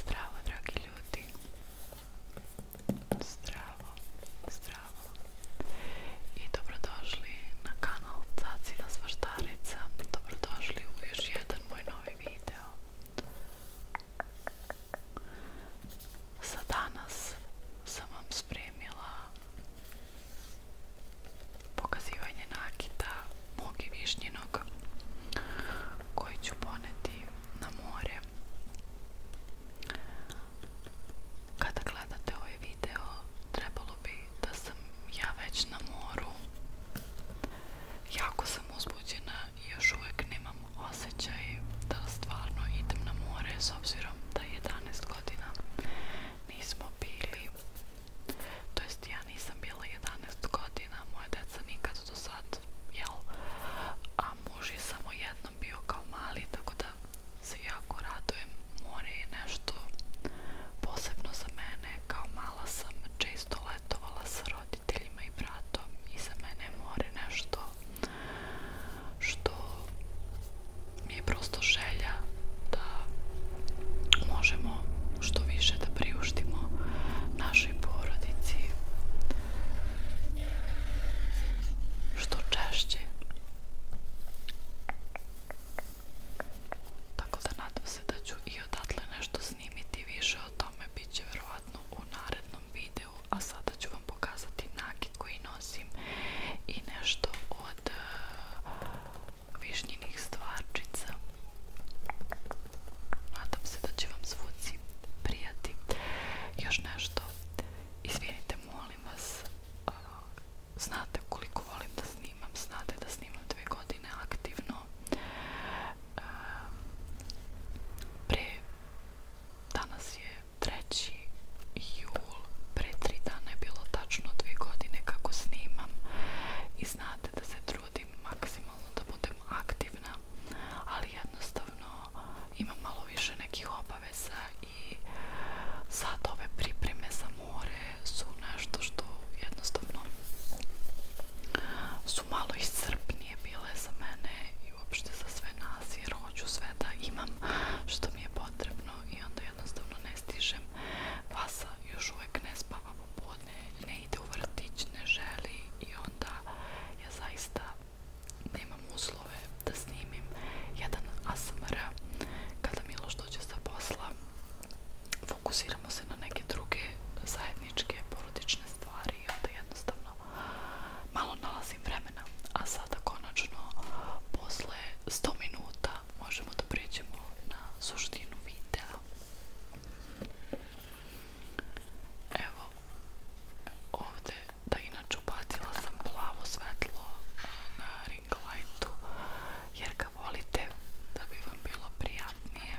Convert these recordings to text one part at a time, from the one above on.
Zdravo, dragi ljudi. Zdravo, zdravo. I dobrodošli na kanal Cacina Svaštarica. Dobrodošli u još jedan moj novi video. Za danas sam vam spremila pokazivanje nakita mog i višnjinog koji ću poneti na more. Kada gledate ovaj video, trebalo bi da sam ja već na moru. Jako sam uzbuđena i još uvijek nemam osjećaj da stvarno idem na more s obzirom da 11 godina nismo bili To jest, ja nisam bila 11 godina, moja deca nikad do sad, jel? A muž je samo jednom bio kao mali, tako da se jako radujem. More je nešto posebno za mene, kao mala sam često letovala sa roditeljima i bratom i za mene je more nešto što mi je prosto želja da možemo što više da priuštimo našoj porodici što češće tako da nadam se da ću i odatle nešto snimiti više o tome bit će verovatno u narednom videu a sada ću vam pokazati nakit koji nosim i nešto od višnjinih stvarčica. Nadam se da će vam zvuci prijati. Još nešto, izvinite, molim vas, znate koliko volim da snimam, znate da snimam dve godine aktivno. Pre, danas je 3. jul, cool. Pre tri dana je bilo tačno dvije godine kako snimam i znate da se trudim maksimalno da budem aktivna, ali jednostavno imam malo više nekih obaveza i sad ove pripreme za more su nešto što jednostavno su malo iscrpnije bile za mene i uopšte za sve nas jer hoću sve da imam što mi je potrebno i onda jednostavno ne ne stižem. Vasa još uvek ne spava popodne, ne ide u vrtić, ne želi i onda ja zaista nemam uslove da snimim jedan ASMR kada Miloš dođe sa posla fokusiramo se na neke druge zajedničke porodične stvari i onda jednostavno malo nalazim vremena a sada konačno posle 100 minuta možemo da pređemo na suštinu videa. Evo, ovde, da inače upatila sam plavo svetlo eh, na ring lightu, jer ga volite da bi vam bilo prijatnije.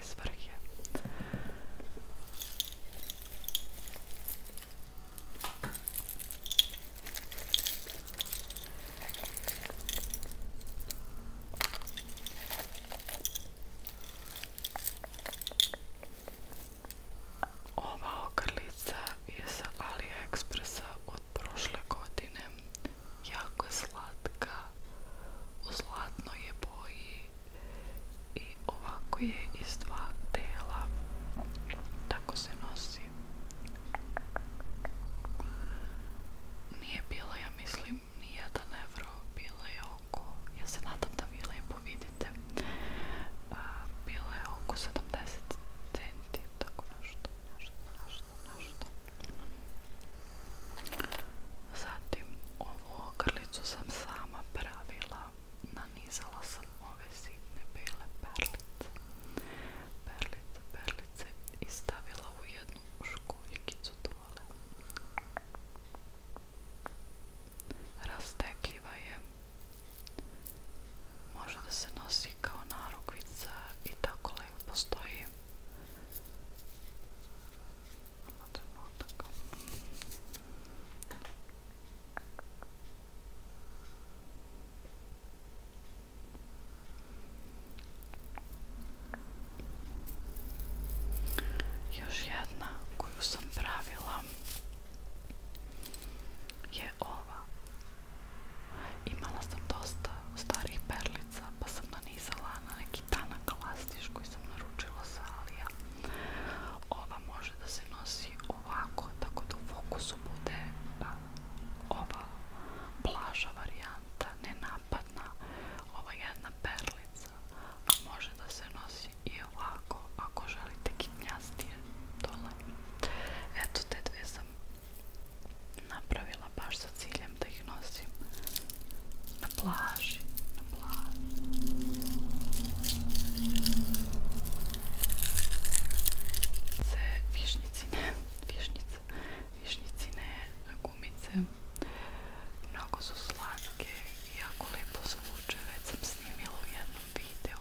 neke Ova ogrlica je sa AliExpressa od prošle godine. Jako je slatka u zlatnoj je boji i ovako je iz dva dela tako se nosi nije bila ja mislim ni jedan evro bila je oko ja se nadam da vi lepo vidite bila je oko 70 centi tako nešto nešto nešto nešto Zatim ovu ogrlicu sam sama pravila, nanizala sam ove sitne bile perlice, perlice, perlice i stavila u jednu škuljikicu dole. Rastekljiva je, može da se nosi kao narukvica i tako lepo postoji. Možemo Još jedna koju sam pravila je ova. Imala sam dosta starih perli kuglica, pa sam nanizala na neki tanak lastiš koji sam naručila sa Alija. Ova može da se nosi ovako, tako da u fokusu bude a, ova plaža varijanta, nenapadna, ova jedna perlica, a može da se nosi i ovako, ako želite kitnjastije stavila baš sa ciljem da ih nosim na plaži, na plaži. Se višnjicine, višnjice, višnjicine gumice. Mnogo su slatke i jako lijepo zvuče, već sam snimila u jednom videu.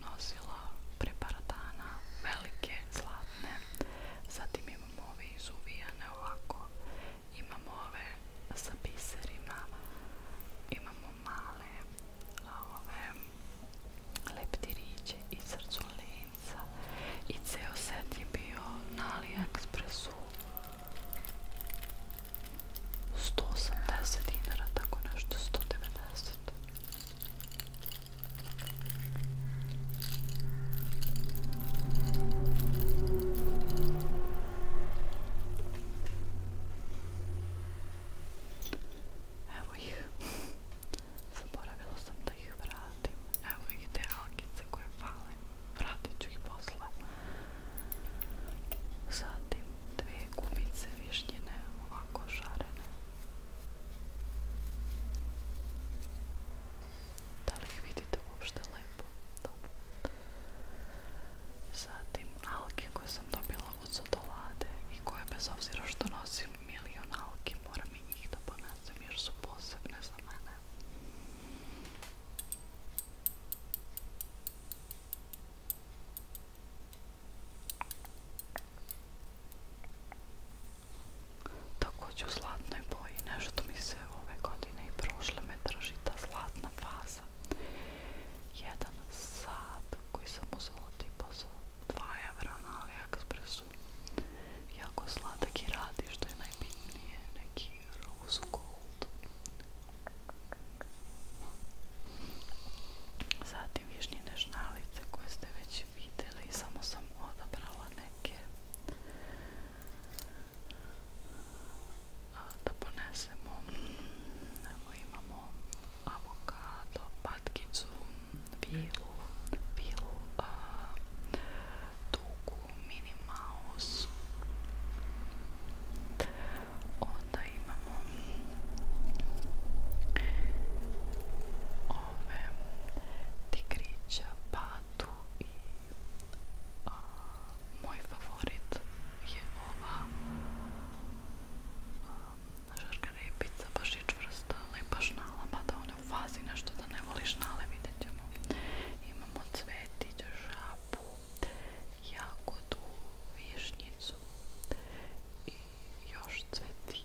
nosila pre par dana, velike, zlatne. Zatim imamo ove izuvijane ovako, imamo ove sa biserima, imamo male, a ove leptiriće i srcu linca. I ceo set je bio na AliExpressu 180 dinara, tako nešto, 190. Evo ih. Zaboravila sam da ih vratim. Evo ih te algice koje fale. Vratit ću ih posle. Zatim dve gumice višnjene, ovako šarene. Da li ih vidite uopšte lepo? Dobro. Zatim alge koje sam dobila od sodolade i koje bez obzira što nosim milion algi moram i njih da ponesem jer su posebne za mene. Takođe u zlatnoj boji, nešto mi se ove godine i prošle me drži ta zlatna faza. Jedan sad koji sam uzela tipa za 2 evra na AliExpressu. Jako slatak i radi što je najbitnije, neki rose gold. Zatim višnjine žnalice koje ste već videli deli samo sam odabrala neke da ah, ponesemo evo imamo avokado, patkicu, vilu, vilu a, ah, tugu, mini mouse onda imamo ove tigrića, patu i a, moj favorit je ova a, žarka repica, baš je čvrsta, ali baš nalama da ona u fazi nešto da ne voliš nale, vidjet ćemo. Imamo cvetić, žabu, jagodu, višnjicu i još cvetić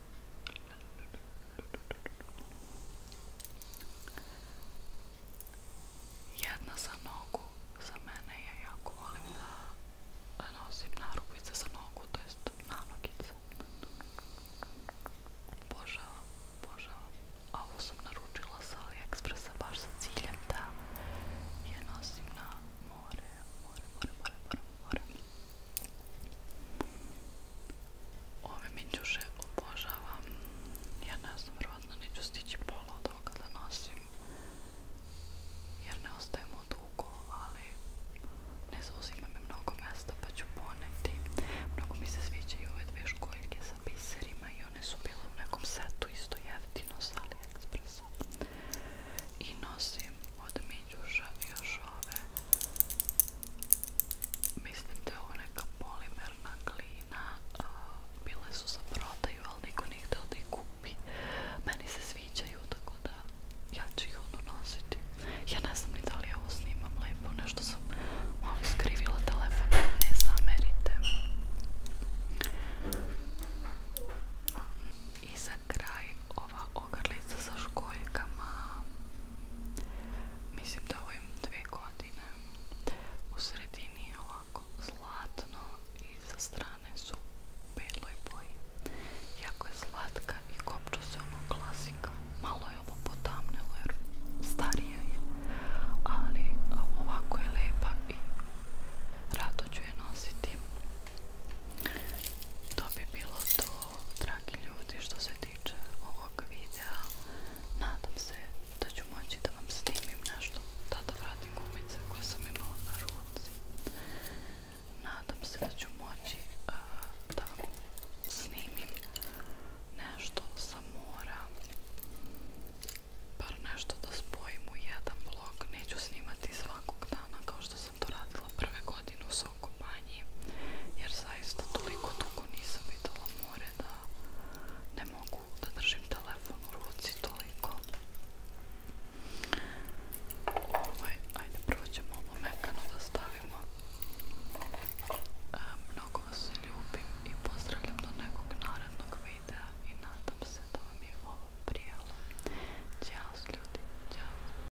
Jedna za nogu, za mene je jako volim da nosim narubice za nogu, to jest nanogice. Božavam, božavam. Ovo sam naručila sa AliExpressa baš sa ciljem da je nosim na more, more, more, more, more, more. Ove minđuše obožavam. Ja ne znam, vjerovatno neću stići pola od toga da nosim. Jer ne ostajemo dugo, ali ne zauzima mi mnogo mesta pa ću poneti. Mnogo mi se sviđaju ove dve školjke sa biserima i one su bile u nekom setu isto jeftino sa AliExpressa. I nosim od minđuša još ove mislim da je ovo neka polimerna glina uh, bile su za prodaju ali niko nije htio da ih kupi meni se sviđaju tako da ja ću ih ono nositi ja ne znam ni da li ovo snimam lepo nešto sam malo skrivila telefon ne zamerite i za kraj ova ogrlica sa školjkama mislim da ovo imam dve godine u sredini je ovako zlatno i sa strane su beloj boji jako je slatka i kopča se ono klasika malo je ovo potamnilo jer starija je ali ovako je lepa i rado ću je nositi to bi bilo to dragi ljudi što se tiče ovog videa nadam se da moći da vam snimim nešto da vratim gumice koje sam imala na ruci nadam se da moći da snimim nešto sa mora nešto da spojim u jedan vlog neću snimati svakog dana kao što sam to radila prve godine u svoj kompaniji jer zaista toliko dugo nisam videla more da ne mogu da držim telefon u ruci toliko ovaj, ajde prvo ćemo ovo mekano da stavimo e, mnogo vas ljubim i pozdravljam do nekog narednog videa i nadam se da vam je ovo prijelo Ćao ljudi, ćao